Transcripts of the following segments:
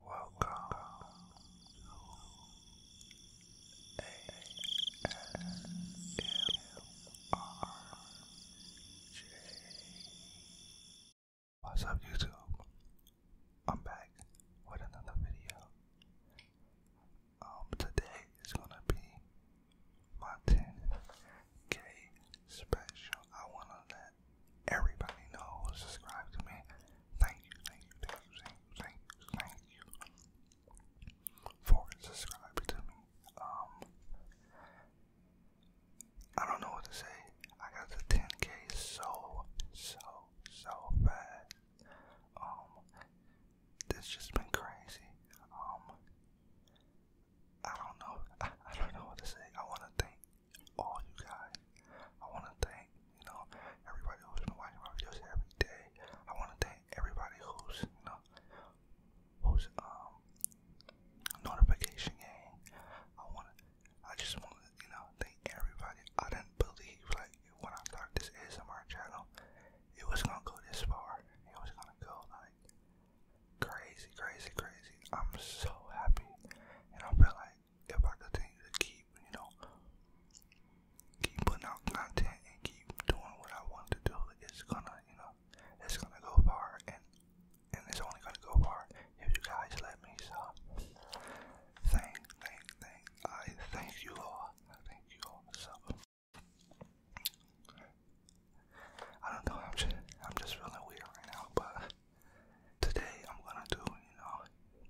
Welcome to What's up, YouTube? I'm back with another video. Um, today is gonna be my 10K special. I wanna everybody knows, subscribe to me. Thank you, thank you, thank you, thank you, thank you, for subscribing to me. Um, I don't know what to say. I got the 10K so, so, so fast. Um, it's just been crazy. Um, I don't know. I don't know what to say. I want to thank all you guys. I want to thank, you know, everybody who's been watching my videos every day. I want to thank everybody who's, you know, who's um notification gang. I want to, I just want to, you know, thank everybody. I didn't believe like when I started this ASMR channel, it was gonna go this far. It was gonna go like crazy, crazy, crazy. I'm so happy, and I feel like like about the to keep, you know, keep putting out content and keep doing what I want to do. It's gonna, you know, it's gonna go far, and and it's only gonna go far if you guys let me. So, thank, thank, thank, I thank you all. thank you all. So, I don't know. I'm just, I'm just feeling weird right now, but. Today I'm gonna do, you know,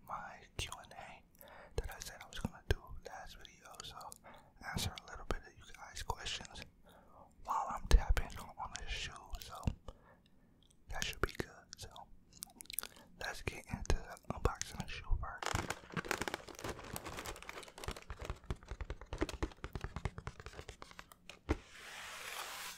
my Q&A that I said I was gonna do last video. So answer a little bit of you guys' questions while I'm tapping on the shoe. So that should be good. So let's get into the unboxing of the shoe first.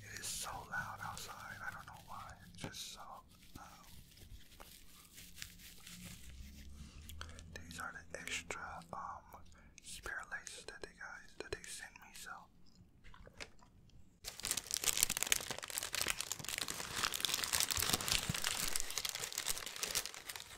It is so loud outside. I don't know why. It's just so loud. Um, these are the extra um spare laces that they guys that they sent me. So.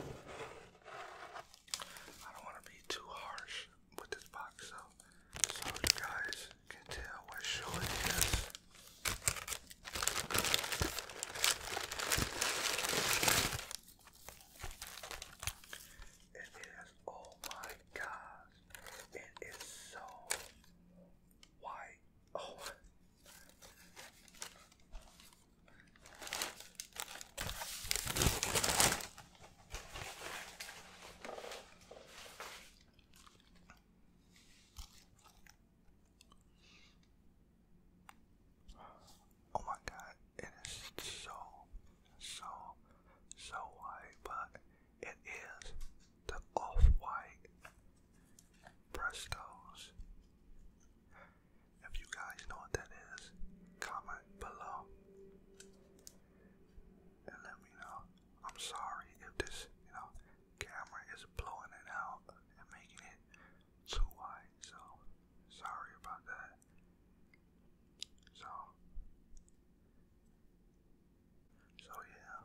I don't want to be too harsh with this box, so so you guys can tell what show it is. It is oh my God, It is so white. Oh. Oh my god, it is so, so, so white, but it is the off-white Prestos. If you guys know what that is, comment below and let me know. I'm sorry if this, you know, camera is blowing it out and making it too wide, so sorry about that. So, so yeah.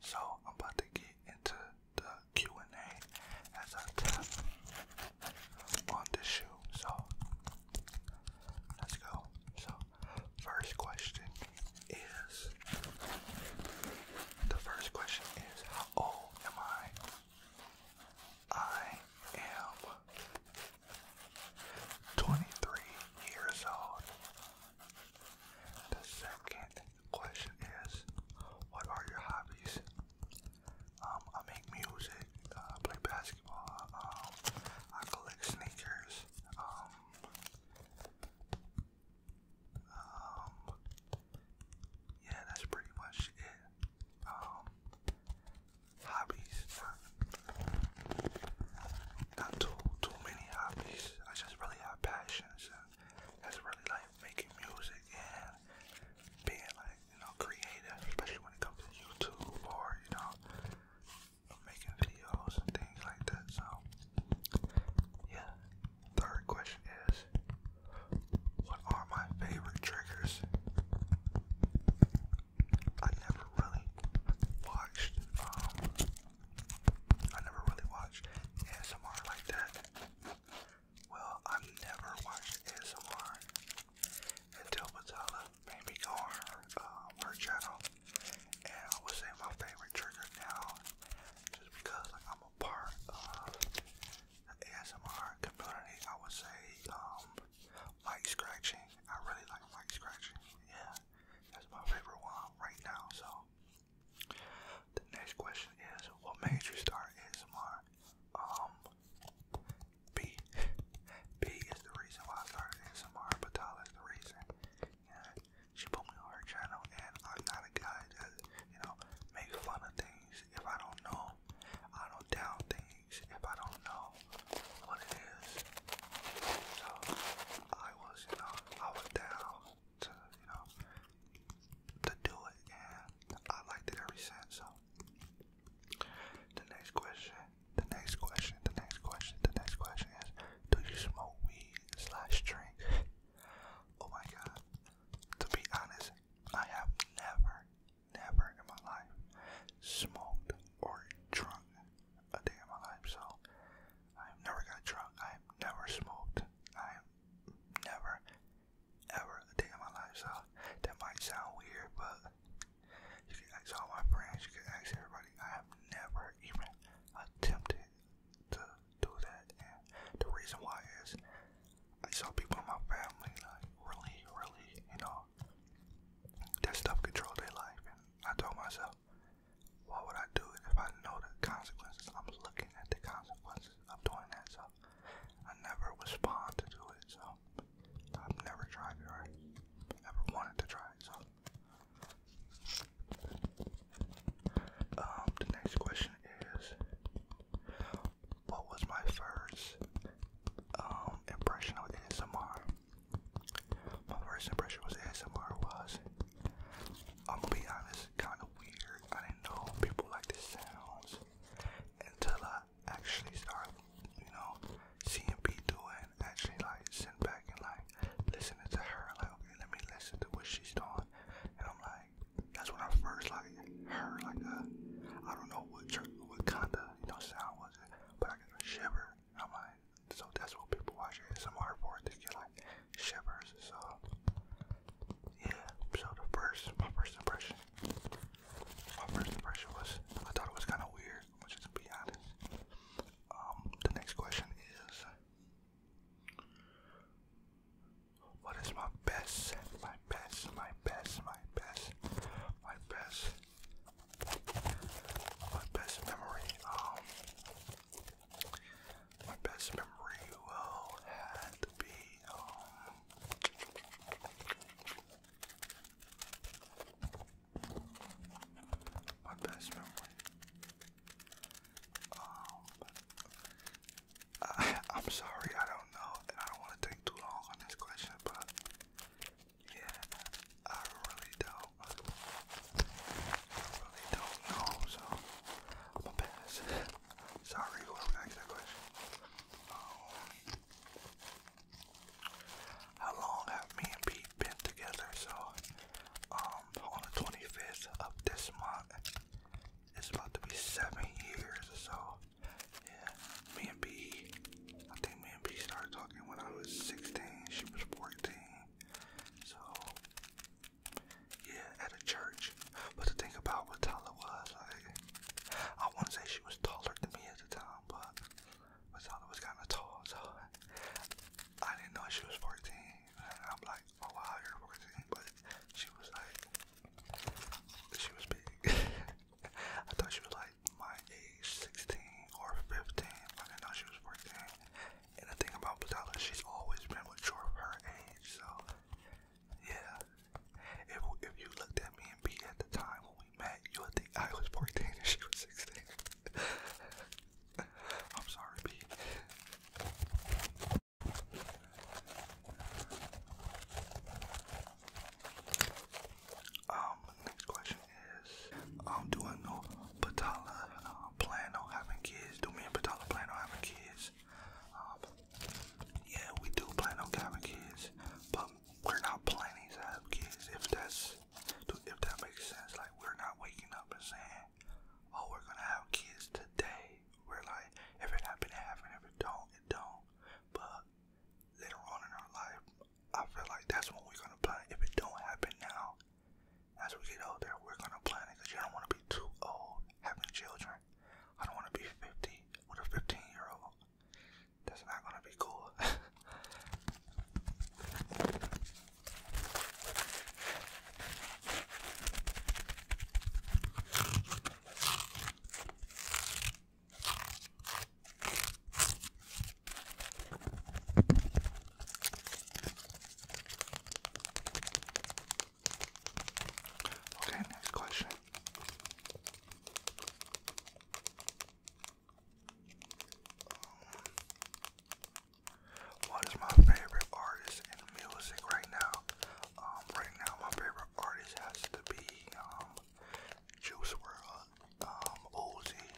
So I'm about to get into the Q&A as a tip on this shoe. So let's go. So first question is the first question is how old am I? I am 23 years old. The second question is, what are your hobbies? Um, I make music, uh, I play basketball, um, I collect sneakers, um, yeah, that's pretty much it. hobbies, not too, too many hobbies, I just really have passions that's really like making music and being like, you know, creative, especially when it comes to YouTube or, you know, making videos and things like that. So, yeah. Third question is What are my favorite triggers? I never really watched, um, I never really watched ASMR like that. Well, I've never watched ASMR until Batala made me go on uh, her, channel. And I would say my favorite trigger now, just because I'm a part of the ASMR community, I would say um, mic scratching. I really like mic scratching. Yeah, that's my favorite one right now. So the next question is, what made you start ASMR? Um, B. B is the reason why I started ASMR, but is the reason. And she put me on her channel, and I'm not a guy that, you know, makes fun of things if I don't know. I don't down things if I don't know what it is. So, I was, you know, I was down to you know to do it, and I liked it ever since. So the next question, the next question, the next question, the next question is: Do you smoke weed slash drink? oh my god! To be honest, I have never, never in my life smoked or drunk a day in my life. So I've never got drunk. I've never smoked. i never, ever a day in my life. So that might sound weird, but you can ask all my friends, you can ask everybody. I have never even attempted to do that. And the reason why is I saw people in my family, like, really, really, you know, that stuff control their life. And I told myself, why would I do it if I know the consequences? I'm looking at the consequences of doing that, so I never was to it, so I've never tried it or ever wanted to try it, so. Um, the next question is, what was my first um, impression of ASMR? My first impression was ASMR was, I'm gonna be honest, kind of weird. I didn't know people like the sounds until I actually started, you know, seeing B do it and actually like sitting back and like listening to her. Like, okay, let me listen to what she's doing. And I'm like, that's when I first like heard like a, I don't know what what kind of you know sound was it, but I got a shiver. I'm like, so that's what people watch ASMR for to get like shivers. So uh, yeah, so the first, my first impression, my first impression was I thought it was kind of weird, which is to be honest. Um, the next question is, what is my best, my best, my best, my best, my best, my best memory? Um, my best memory will had to be um, my best memory. Um, I, am sorry, I don't know, I don't want to take too long on this question, but yeah, I really don't. I really don't know, so I'm gonna pass. Sorry, whoever asked that question. Um, how long have me and Pete been together? So, um, on the 25th of this month, it's about to be seven years so. Yeah, me and B, I think me and B started talking when I was 16, she was 14. So, yeah, at a church. But the thing about what Tala was, like, I want to say she was taller than me at the time, but Tyler was kind of tall, so I didn't know she was 14. And I'm like, oh wow, you're 14, but she was like, she was big. I thought she was like my age, 16 or 15. I didn't know she was 14. And the thing about Tala, she's always been mature for her age, so yeah. If if you looked at me and B at the time when we met, you would think I was 14 and she was 16. I'm sorry, B. Um, next question is, um, do I know Batala uh, plan on having kids? Do me and Batala plan on having kids? Um, yeah, we do plan on having kids, but we're not planning to have kids. If that's if that makes sense, like we're not waking up and saying, "Oh, we're gonna have kids today." We're like, if it happens, it happen. If it don't, it don't. But later on in our life, I feel like that's when we're gonna plan. If it don't happen now, as we get older, we're gonna plan it because you don't want to be too old having children. I don't want to be 50 with a 15 year old. That's not going to be cool. Okay, next question. what is my favorite artist in music right now? Um, right now, my favorite artist has to be um, Juice World, um,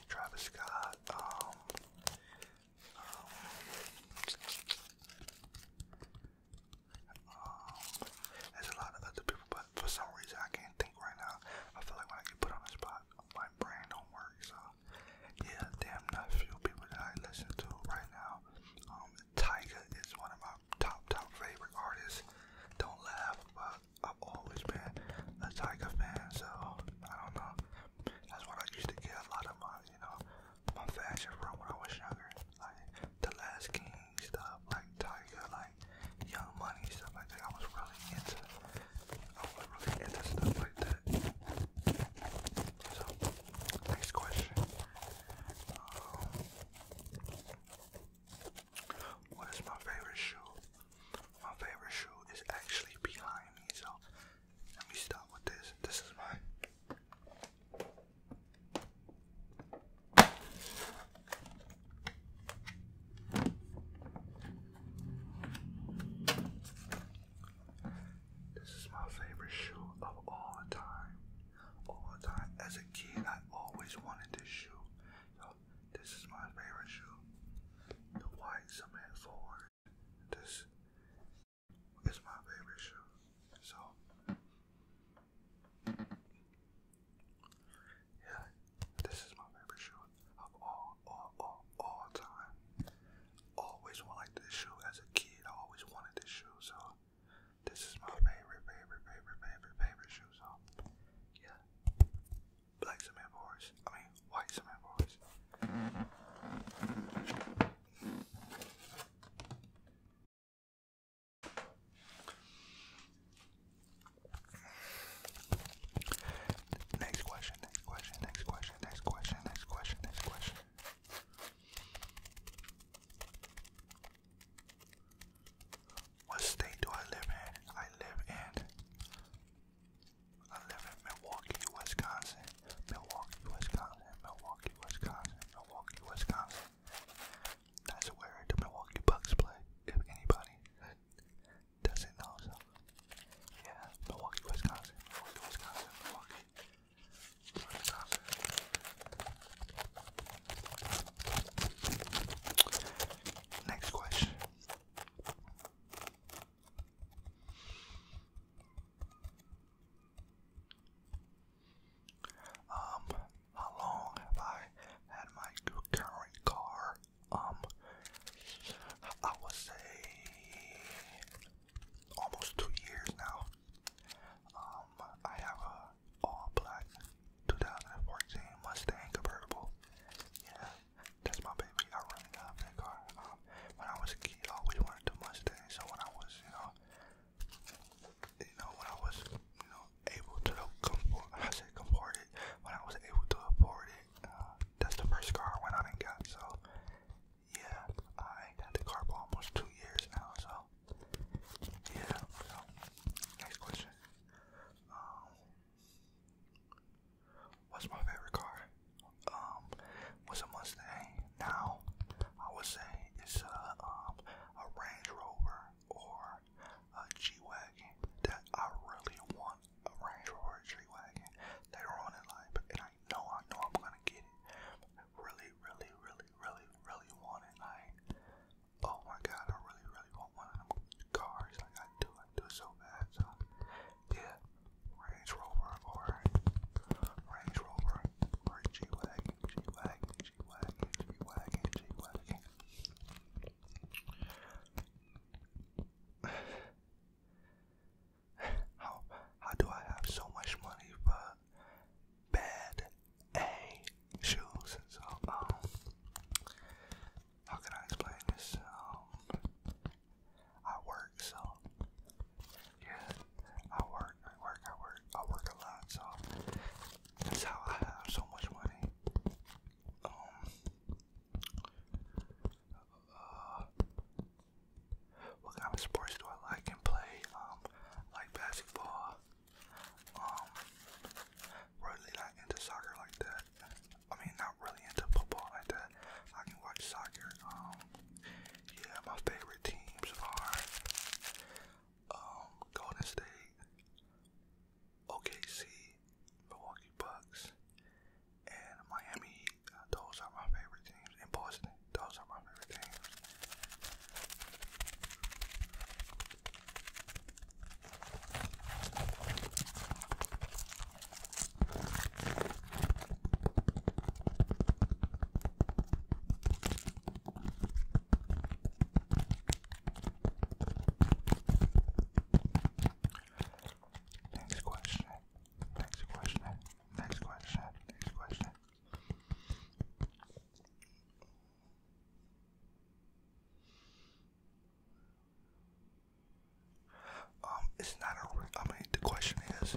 Travis Scott, um, um, there's a lot of other people, but for some reason I can't think right now. I feel like when I get put on the spot, my brain don't work. So yeah, damn, not few people that I listen to right now. Um, Tyga is one of my top top favorite artists. Don't laugh, but I've always been a Tyga fan. So I don't know. That's what I used to get a lot of my, you know, my fashion from when I was younger, like the Last King stuff, like Tiger, like Young Money stuff like that. I was really into, I was really into stuff like that. So, next question. Um, what is my favorite shoe? My favorite shoe is actually behind me. So, let me start with this. This is my this is my favorite shoe of all time. All time. As a kid, I always wanted this shoe. So this is my favorite shoe. The white cement forward. This is my favorite shoe. So yeah, this is my favorite shoe of all, all, all, all time. Always liked this shoe as a kid. always wanted this shoe, so this is my favorite, favorite, favorite, favorite, favorite shoe. yeah, black cement boards. I mean, white cement boards. Next question, next question, next question, next question, next question, next question. What state do I live in? I live in I live in Milwaukee, Wisconsin. Milwaukee, Wisconsin, Milwaukee, Wisconsin, Milwaukee, Wisconsin. That's where the Milwaukee Bucks play, if anybody doesn't know. yeah, Milwaukee, Wisconsin, Wisconsin, Milwaukee, Wisconsin. Next question. Um, how long have I had my current car? Um, I would say almost two years now. Um, I have a all black 2014 Mustang convertible. Yeah, that's my baby. I really that car. Um, when I was a kid, I always wanted a Mustang. So when I was, you know, you know, when I was, you know, able to comport, I said comport when I was able to afford it, uh, that's the first car I went out and got, so, yeah, I got the car for almost two years now, so, yeah, next question, um, what's my favorite car, um, was a Mustang, now, I would say it's a, um, a Range Rover or a G-Wagon that I really want a Range Rover or a later on in life and I know I know I'm gonna get it. Really, really, really, really, really want it. Like oh my god, I really, really want one cars. Like I do, I do so bad. So yeah, Range Rover or Range Rover or G Wagon, G Wagon, how how do I have so much money for bad A shoes? So um, how can I explain this? I work so yeah, I work. I work, I work, I work a lot, so that's how I have so much money. Um, uh, what kind of sports do I like and play? Um, like basketball. Um, really not into soccer like that. I mean, not really into football like that. I can watch soccer. Um, yeah, my favorite teams are um, Golden State, OKC, Milwaukee Bucks, and Miami. Uh, those are my favorite teams. And Boston, those are my favorite teams. Next question. Next question. Next question. Next question. Um, it's not a. I mean, the question is,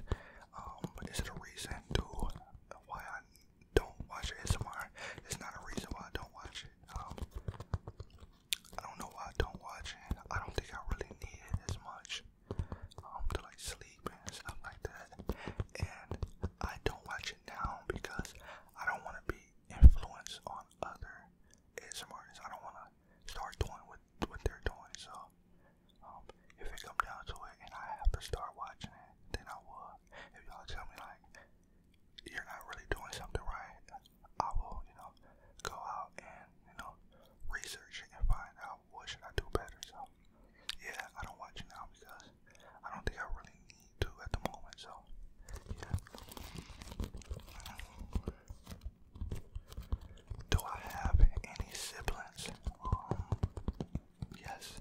um, is it a reason to why I don't watch ASMR. It's not a reason why I don't watch it. Um, I don't know why I don't watch it. I don't think I really need it as much um, to like sleep and stuff like that. And I don't watch it now because I don't want to be influenced on other ASMR I don't want to start doing what what they're doing. So um, if it comes down to it and I have to start watching it, then I will if y'all tell me like you're not really doing something right, I will, you know, go out and, you know, research and find out what should I do better. So yeah, I don't watch it now because I don't think I really need to at the moment, so Do I have any siblings? Um, yes.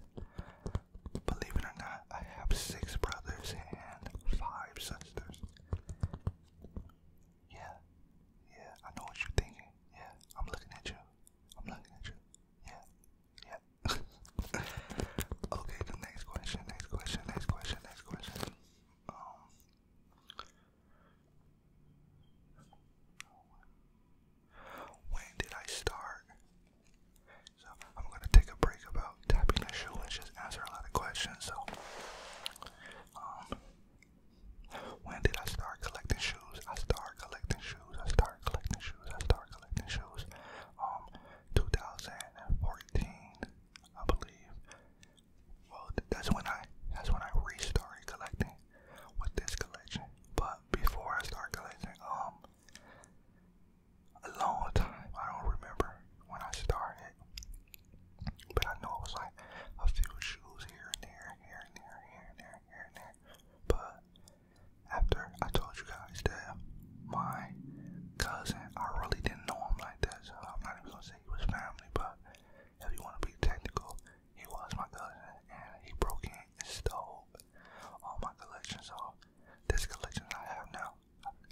Believe it or not, I have six brothers and five sisters. Yeah, yeah, I know what you're thinking. Yeah, I'm looking at you. I'm looking at you. Yeah, yeah. okay, next question, next question, next question, next question. Um, when did I start so I'm gonna take a break about tapping the shoe and just answer a lot of questions. So, um, when did I start collecting shoes? I started collecting shoes. I started collecting shoes. I started collecting shoes. Um, 2014, I believe. Well, that's when I that's when I restarted collecting with this collection. But before I started collecting, um, a long time. I don't remember when I started, but I know it was like a few shoes here and there, here and there, here and there, here and there. But after I told you guys that my cousin, I really didn't know him like that, so I'm not even gonna say he was family, but if you want to be technical, he was my cousin, and he broke in and stole all my collections are this collection I have now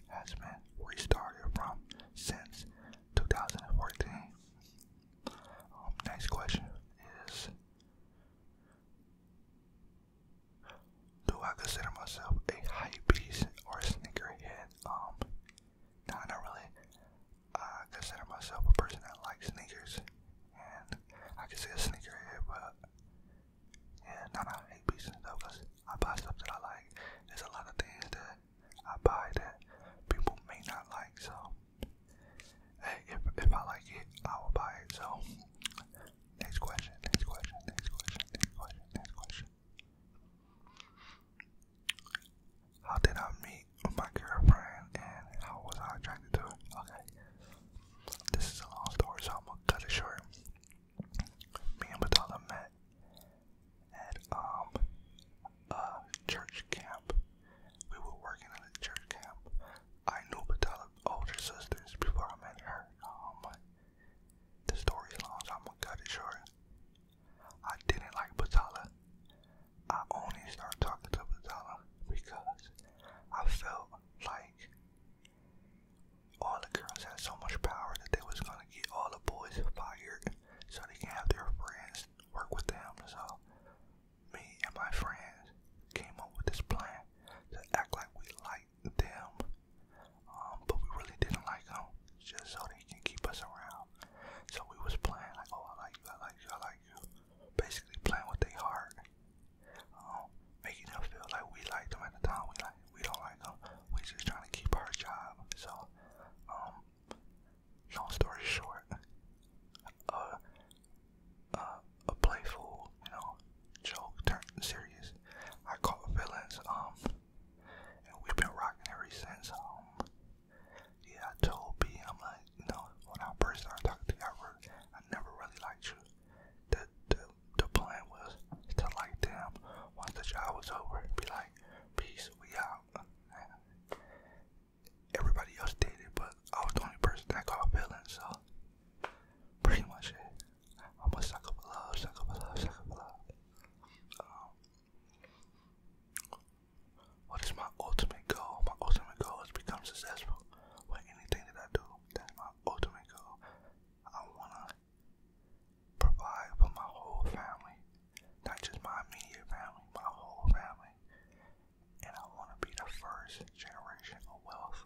has been restarted from since 2014. Um, next question is Do I consider myself a hype piece or a sneakerhead? Um, nah, not really. I consider myself a person that likes sneakers, and I can say a sneakerhead, but and not out of hate pieces though, because I buy stuff that I like. There's a lot of things that I buy that people may not like, so hey, if if I like it, I will buy it. So next question, next question, next question, next question, next question. How did I meet my girlfriend and how was I attracted to her? Okay. This is a long story, so I'm gonna cut it short me and Batala met at um, a church camp. We were working at a church camp. I knew Batala's older sisters before I met her. Um, the story's long, I'm gonna cut it short. I didn't like Batala. I only started talking to Batala because I felt like all the girls had so much power that they was gonna get all the boys fired so they can have their friends work with them. So me and my friends came up with this plan to act like we liked them, um, but we really didn't like them, just so they can keep us around. So we was playing like, oh, I like you, I like you, I like you, basically playing with their heart um, making them feel like we like them at the time. We like we don't like them. We just trying to keep our job. So, um, long story short, a uh, uh, a playful, you know, joke turned serious. I caught villains. um, and we've been rocking ever since. Um, yeah, I told B, I'm like, you know, when I first started talking to you, I, I never really liked you. The the, the plan was to like them once the job was over, be like, peace, we out. everybody else did it, but I was the only person that got feelings, so pretty much it. I'm a sucker for love, sucker for love, sucker for love. Um, what is my ultimate goal? My ultimate goal is become successful with anything that I do. That's my ultimate goal. I wanna provide for my whole family, not just my immediate family, my whole family. And I wanna be the first generation of wealth.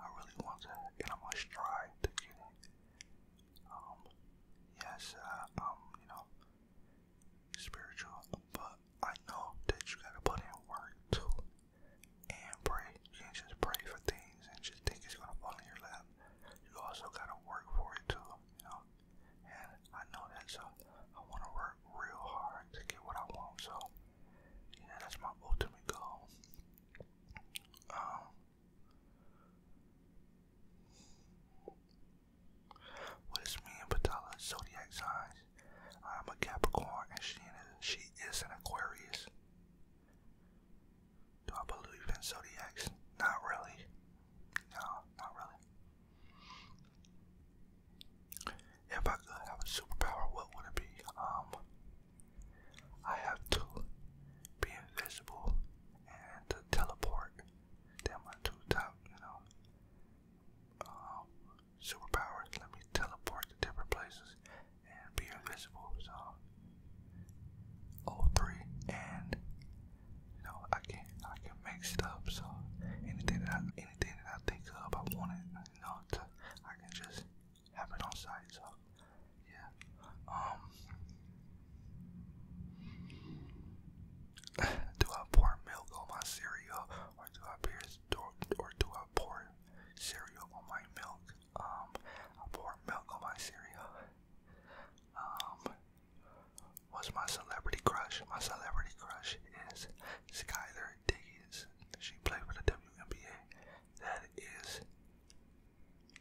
I really want to, and I'm gonna strive to get it. Um, yes, uh, um, you know, spiritual, but I know that you gotta put in work too and pray. You can just pray for things and just think it's gonna fall in your lap. You also gotta work for it too, you know. And I know that so I wanna work real hard to get what I want, so yeah, that's my ultimate goal. Um what is me and Patala's zodiac signs? I'm a Capricorn and she, she is an Aquarius. Do I believe in zodiacs? Not really. No, not really. If I could have a superpower, what would it be? Um, I have to be invisible and to teleport. They're my two top, you know, um, superpowers. Let me teleport to different places be invisible. So, all three, and you know, I can I can make stuff. So anything that I, anything that I think of, I want it. You know, to, I can just have it on site. So, yeah. Um, do I pour milk on my cereal, or do I pour cereal on my milk? Um, pour milk on my cereal. Um, what's my celebrity crush? My celebrity crush is Skylar Diggins. She played for the WNBA. That is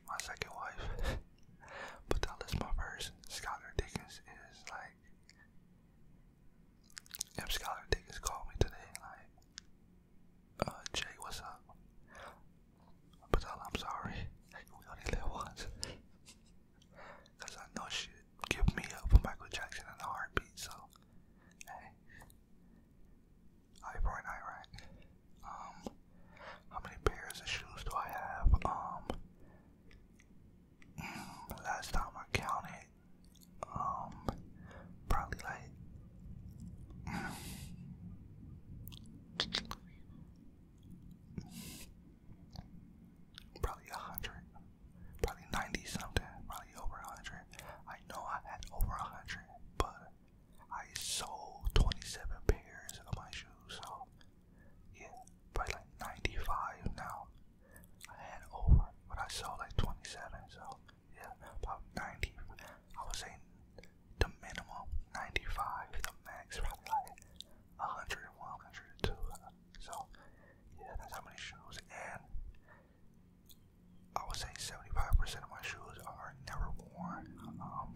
my second wife. but that list my first. Skylar Diggins is like if Skylar Diggins called me today, like uh, Jay, what's up? But I'm sorry, we only live once. Cause I know she'd give me up for Michael Jackson and a heartbeat, so hey. Eye for eye, right? Um, how many pairs of shoes do I have? Um, mm, last time I counted, um, probably like Probably a hundred, probably ninety something, probably over a hundred. I know I had over a hundred, but I sold twenty-seven pairs of my shoes, so yeah, probably like ninety-five now. I had over, but I sold like twenty-seven, so yeah, about 90, I would say the minimum 95, the max probably like 101, 102. So, yeah, that's how many shoes. And I would say 75% of my shoes are never worn. Um,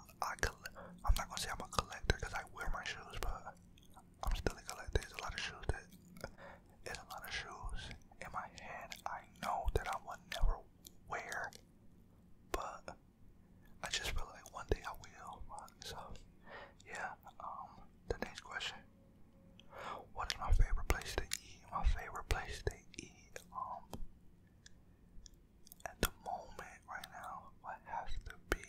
I, I I'm not gonna say I'm a collector because I wear my shoes, but I'm still collecting. There's a lot of shoes that there's a lot of shoes in my head I know that I would never wear but I just feel like one day I will. So, yeah. Um, the next question: What is my favorite place to eat? My favorite place to eat. Um, at the moment, right now, would have to be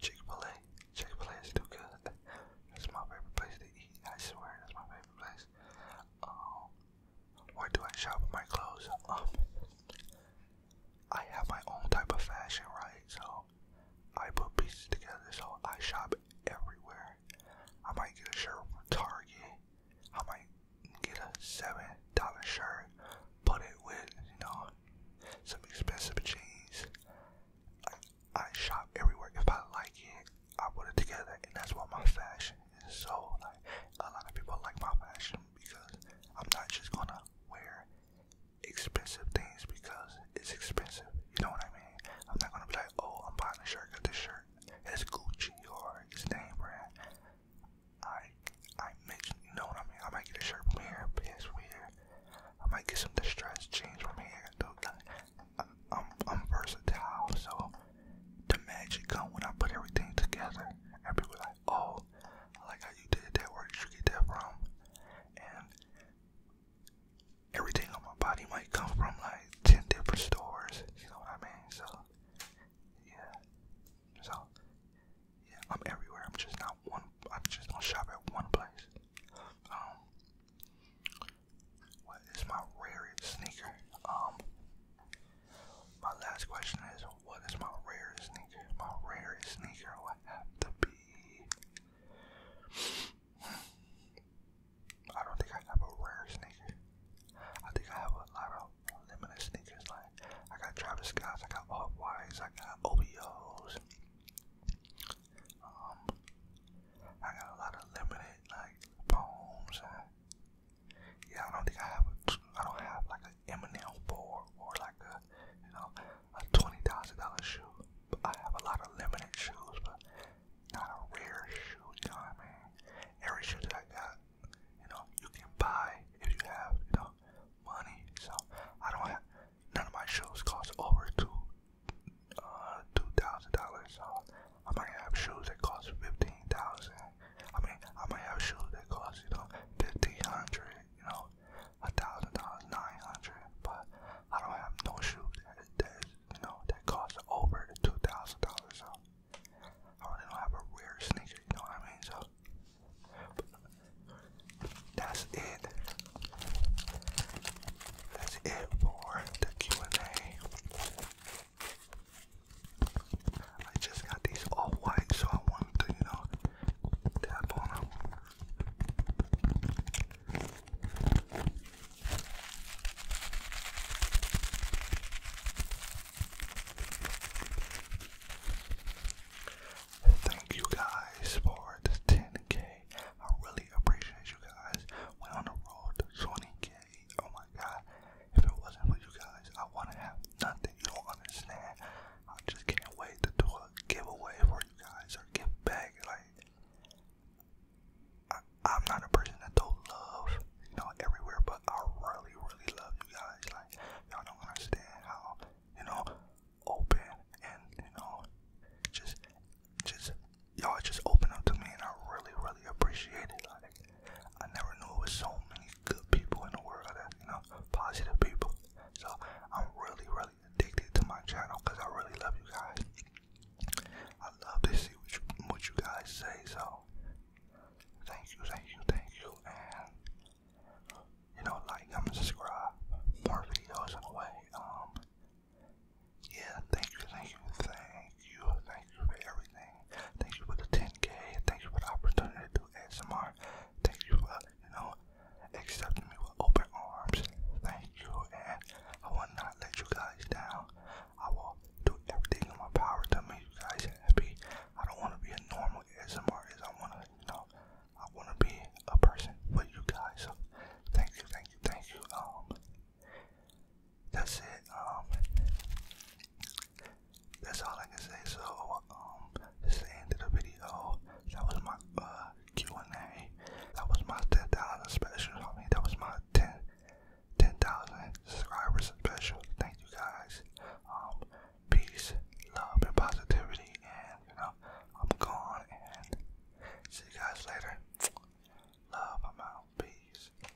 Chick Fil A. Chick Fil A is too good. That's my favorite place to eat. I swear, that's my favorite place. Um, where do I shop my clothes? Um, I have my own type of fashion, right? So I put pieces together. So I shop everywhere. I might get a shirt from Target. I might get a seven dollar shirt, put it with you know some expensive jeans. I shop everywhere if I like it. I put it together, and that's why my fashion is so like a lot of people like my fashion because I'm not just gonna wear expensive things because it's expensive. You know what I mean? I'm not gonna be like, oh, I'm buying a shirt Got this shirt It's Gucci or it's name brand. I I mentioned, you know what I mean? I might get a shirt from here, pants from here. I might get some distressed jeans from here. I'm, versatile, so the magic come when I put everything together. And people like, oh, like how you did that. Where did you get that from? And everything on my body might come from like ten different stores. You know what I mean? So yeah, so yeah, I'm everywhere. I'm just not one. I just don't shop at one place. Um, what is my rarest sneaker? Um, my last question is, what is my rarest sneaker? My rarest sneaker would have to be. I don't think I have a rare sneaker. I think I have a lot of limited sneakers. Like I got Travis Scott's, I got Off Whites, I got OBOs. Um, I got a lot of limited like bones yeah, I don't think I have. A, I don't have like an M&M board or like a you know a twenty thousand dollar shoe. But I have a lot of limited shoes, but not a rare shoe. You know what I mean? Every shoe that I got, you know, you can buy if you have you know money. So I don't have none of my shoes cost over two uh two thousand dollars. So I might have shoes that cost fifteen thousand. I mean, I might have shoes that cost you know fifteen hundred, you know, a thousand dollars, nine hundred. But I don't have no shoes that, you know that cost over two thousand dollars. So I really don't have a rare sneaker. You know what I mean? So that's it. That's it for the Q and A. I just got these all white, so I wanted to, you know, tap on them. Thank you guys for the 10k. I really appreciate you guys. Went on the road to 20k Oh my god. If it wasn't for you guys, I wanna have nothing. You don't understand. I just can't wait to do a giveaway for you guys or give back. Like, I, am not a person that do love, you know, everywhere, but I really, really love you guys. Like, y'all don't understand how, you know, open and, you know, just, just, y'all just open up to me and I really, really appreciate it. Like, I never knew there was so many good people in the world that you know, positive people. So I'm really, really addicted to my channel because I really love you guys. I love to see what you, guys say. So thank you, thank you, thank you, and you know, like, and subscribe, more videos on the way. Um, yeah, thank you, thank you, thank thank you, thank you for everything. Thank you for the 10K. Thank you for the opportunity to do ASMR. Thank you for, you know, accepting me with open arms. Thank you, and I will not let you guys down. I will do everything in my power to make you guys happy. I don't want to be a normal ASMR I want to, you know, I want to be a person for you guys. thank you, thank you, thank you. Um, that's it. Um, that's all I can say. So, um, this is the end the video. That was my uh, Q and A. That was my ten thousand special. I mean, that was my ten ten thousand subscribers special. Thank you guys. Um, peace, love, and positivity. And you know, I'm gone. And see you guys later. Love, i Peace.